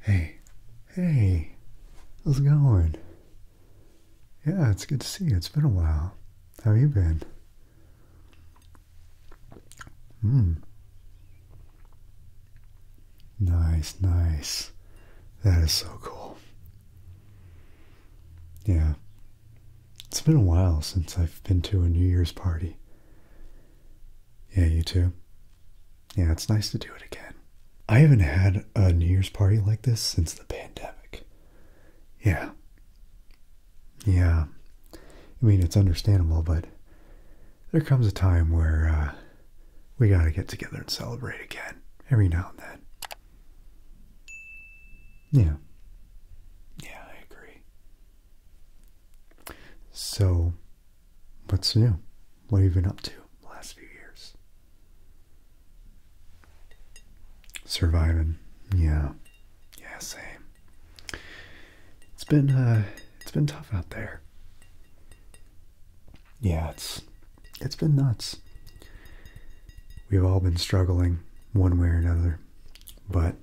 Hey, hey, how's it going? Yeah, it's good to see you. It's been a while. How you been? Hmm. Nice, nice. That is so cool. Yeah. It's been a while since I've been to a New Year's party. Yeah, you too. Yeah, it's nice to do it again. I haven't had a New Year's party like this since the pandemic. Yeah. Yeah. I mean, it's understandable, but there comes a time where uh, we gotta get together and celebrate again every now and then. Yeah. Yeah, I agree. So, what's new? What have you been up to the last few years? Surviving. Yeah. Yeah, same. It's been uh, it's been tough out there. Yeah, it's it's been nuts. We've all been struggling one way or another. But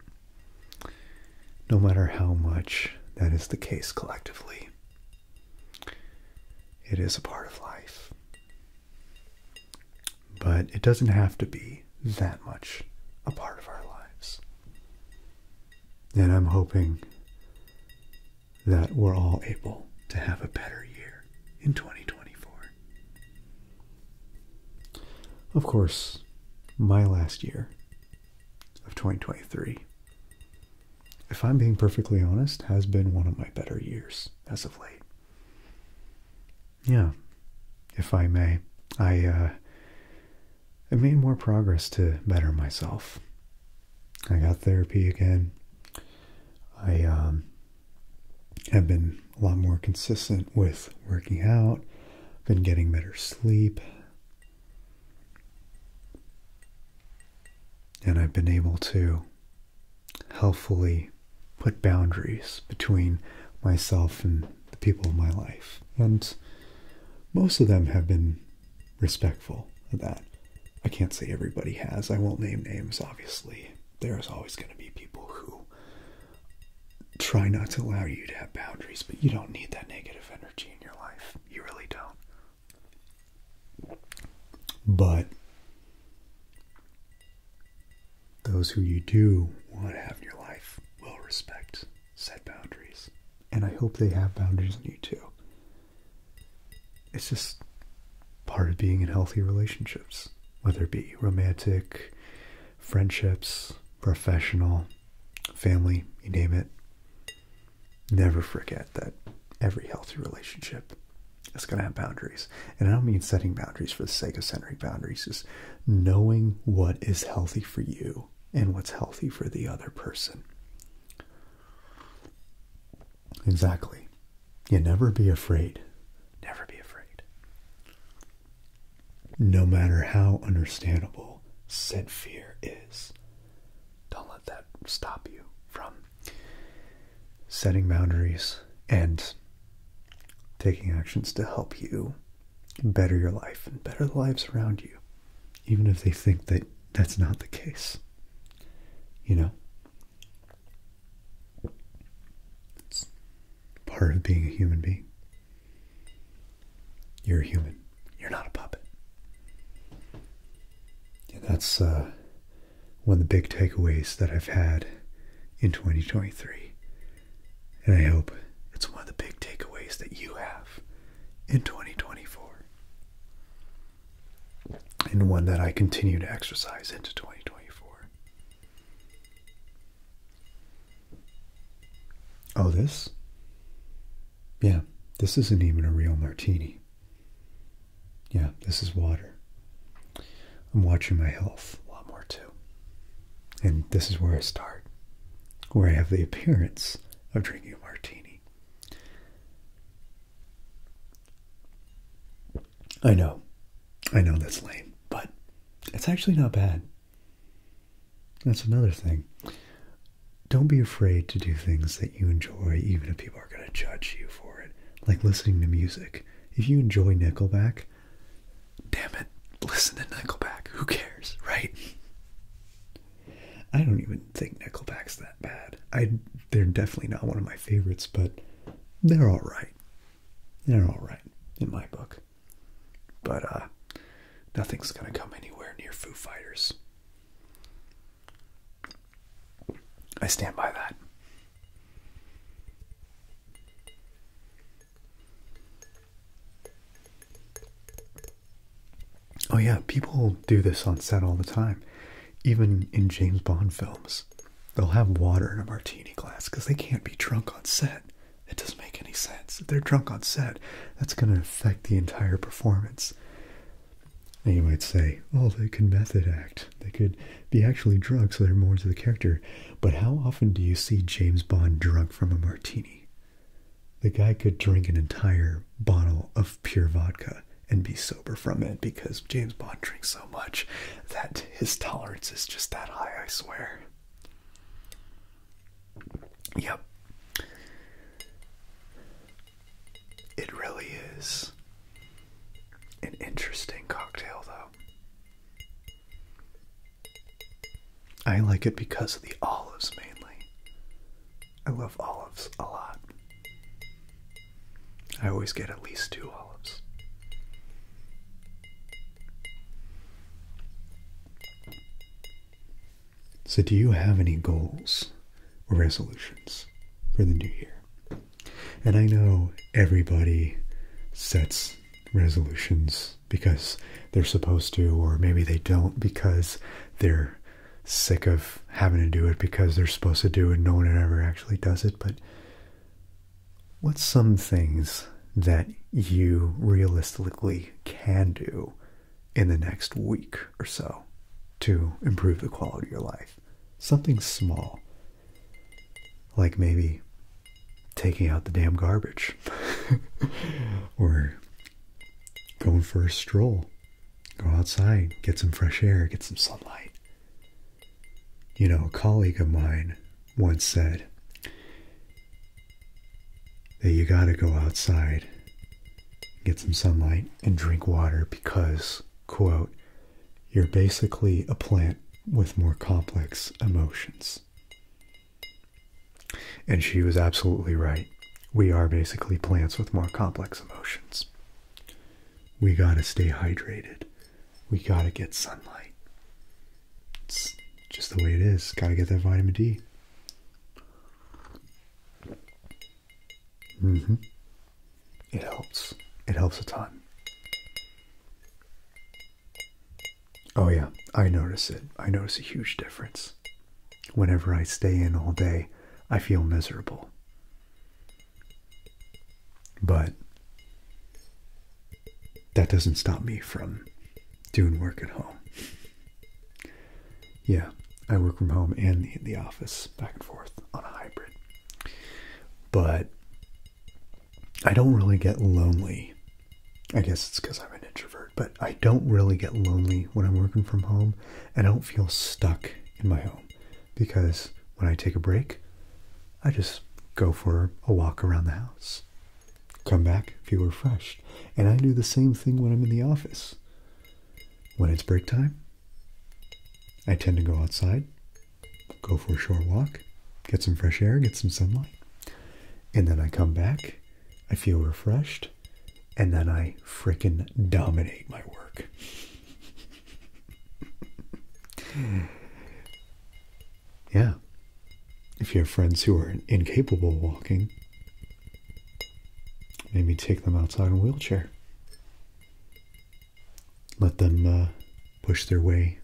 no matter how much that is the case collectively. It is a part of life. But it doesn't have to be that much a part of our lives. And I'm hoping that we're all able to have a better year in 2024. Of course, my last year of 2023, if I'm being perfectly honest, has been one of my better years as of late. Yeah, if I may, I, uh, I made more progress to better myself. I got therapy again. I um, have been a lot more consistent with working out, been getting better sleep, and I've been able to helpfully put boundaries between myself and the people in my life. And most of them have been respectful of that. I can't say everybody has. I won't name names, obviously. There's always going to be people who try not to allow you to have boundaries, but you don't need that negative energy in your life. You really don't. But those who you do want to have in your life will respect set boundaries. And I hope they have boundaries in you too. It's just part of being in healthy relationships, whether it be romantic, friendships, professional, family, you name it. Never forget that every healthy relationship is going to have boundaries. And I don't mean setting boundaries for the sake of setting boundaries, is knowing what is healthy for you and what's healthy for the other person. Exactly. You never be afraid. Never be afraid. No matter how understandable said fear is, don't let that stop you from setting boundaries and taking actions to help you better your life and better the lives around you, even if they think that that's not the case. You know? It's part of being a human being. You're a human. You're not a puppet. that's uh, one of the big takeaways that I've had in 2023. And I hope it's one of the big takeaways that you have in 2024. And one that I continue to exercise into 2024. Oh, this? Yeah, this isn't even a real martini. Yeah, this is water. I'm watching my health a lot more too. And this is where I start, where I have the appearance of drinking a martini. I know, I know that's lame, but it's actually not bad. That's another thing. Don't be afraid to do things that you enjoy, even if people are going to judge you for it. Like listening to music. If you enjoy Nickelback, damn it, listen to Nickelback. Who cares, right? I don't even think Nickelback's that bad. I they're definitely not one of my favorites, but they're all right. They're all right in my book. But uh, nothing's going to come anywhere near Foo Fighters. I stand by that. Oh yeah, people do this on set all the time even in James Bond films, they'll have water in a martini glass because they can't be drunk on set. It doesn't make any sense. If they're drunk on set, that's going to affect the entire performance. you might say, oh, they can method act. They could be actually drunk, so they're more into the character. But how often do you see James Bond drunk from a martini? The guy could drink an entire bottle of pure vodka and be sober from it because James Bond drinks so much that his tolerance is just that high, I swear. Yep. It really is an interesting cocktail, though. I like it because of the olives mainly. I love olives a lot. I always get at least two olives. So, do you have any goals or resolutions for the new year? And I know everybody sets resolutions because they're supposed to, or maybe they don't because they're sick of having to do it because they're supposed to do it no one ever actually does it but what's some things that you realistically can do in the next week or so to improve the quality of your life something small like maybe taking out the damn garbage or going for a stroll Go outside, get some fresh air, get some sunlight. You know, a colleague of mine once said that you got to go outside, get some sunlight, and drink water because, quote, you're basically a plant with more complex emotions. And she was absolutely right. We are basically plants with more complex emotions. We got to stay hydrated. We got to get sunlight. It's just the way it is. Got to get that vitamin D. Mm hmm It helps. It helps a ton. Oh yeah, I notice it. I notice a huge difference. Whenever I stay in all day, I feel miserable. But that doesn't stop me from doing work at home. Yeah, I work from home and the, office back and forth on a hybrid. But I don't really get lonely. I guess it's because I'm an introvert, but I don't really get lonely when I'm working from home and I don't feel stuck in my home because when I take a break, I just go for a walk around the house, come back, feel refreshed. And I do the same thing when I'm in the office. When it's break time, I tend to go outside, go for a short walk, get some fresh air, get some sunlight, and then I come back I feel refreshed, and then I fricking dominate my work. yeah. If you have friends who are incapable of walking, maybe take them outside in a wheelchair. Let them uh, push their way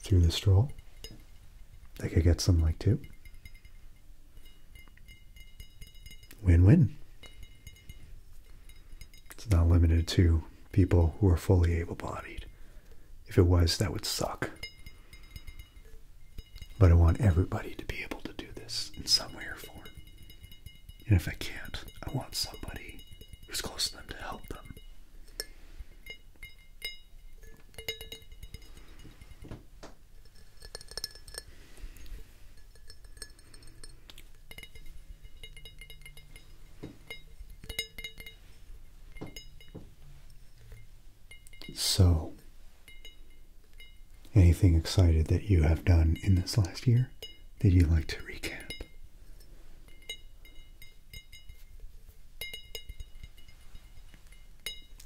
through the stroll. They could get some like too. Win win. It's not limited to people who are fully able bodied. If it was, that would suck. But I want everybody to be able to do this in some way or form. And if I can't, I want somebody who's close to them to help them. So, anything excited that you have done in this last year that you'd like to recap?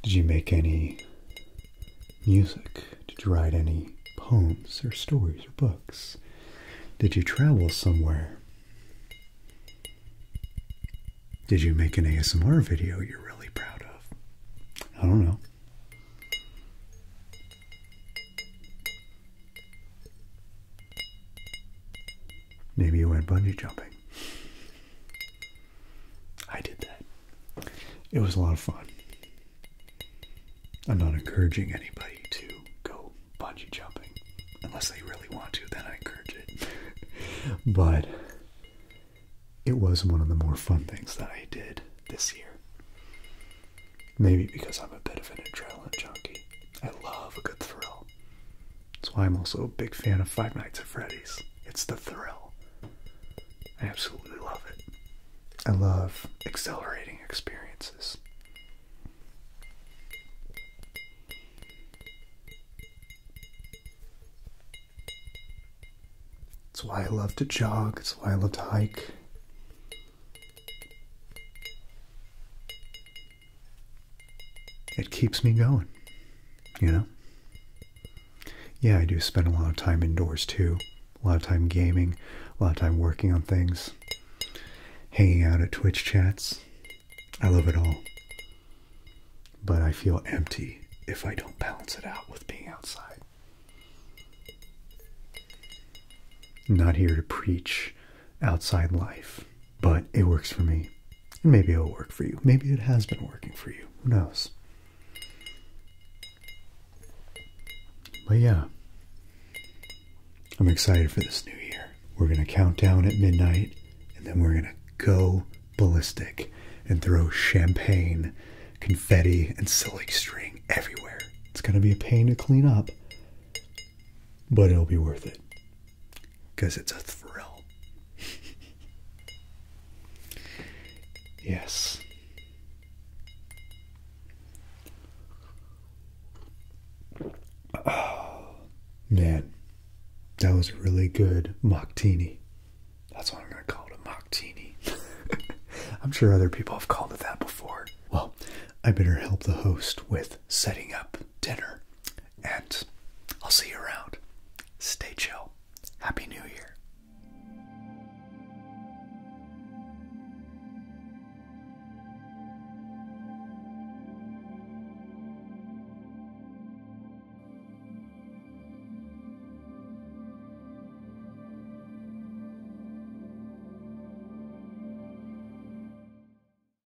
Did you make any music? Did you write any poems or stories or books? Did you travel somewhere? Did you make an ASMR video you're really proud of? I don't know. Maybe you went bungee jumping. I did that. It was a lot of fun. I'm not encouraging anybody to go bungee jumping. Unless they really want to, then I encourage it. but it was one of the more fun things that I did this year. Maybe because I'm a bit of an adrenaline junkie. I love a good thrill. That's why I'm also a big fan of Five Nights at Freddy's. It's the thrill. I absolutely love it. I love accelerating experiences. That's why I love to jog, that's why I love to hike. It keeps me going you know? Yeah, I do spend a lot of time indoors too. A lot of time gaming, a lot of time working on things, hanging out at Twitch chats. I love it all. But I feel empty if I don't balance it out with being outside. not here to preach outside life but it works for me. And maybe it'll work for you. Maybe it has been working for you. Who knows? But yeah, I'm excited for this new year. We're going to count down at midnight and then we're going to go ballistic and throw champagne, confetti, and silly string everywhere. It's going to be a pain to clean up, but it'll be worth it. Because it's a thrill. yes. Oh, man. That was really good Moctini. That's what I'm going to call it a Moctini. I'm sure other people have called it that before. Well, I better help the host with setting up dinner. And I'll see you around. Stay chill. Happy New Year.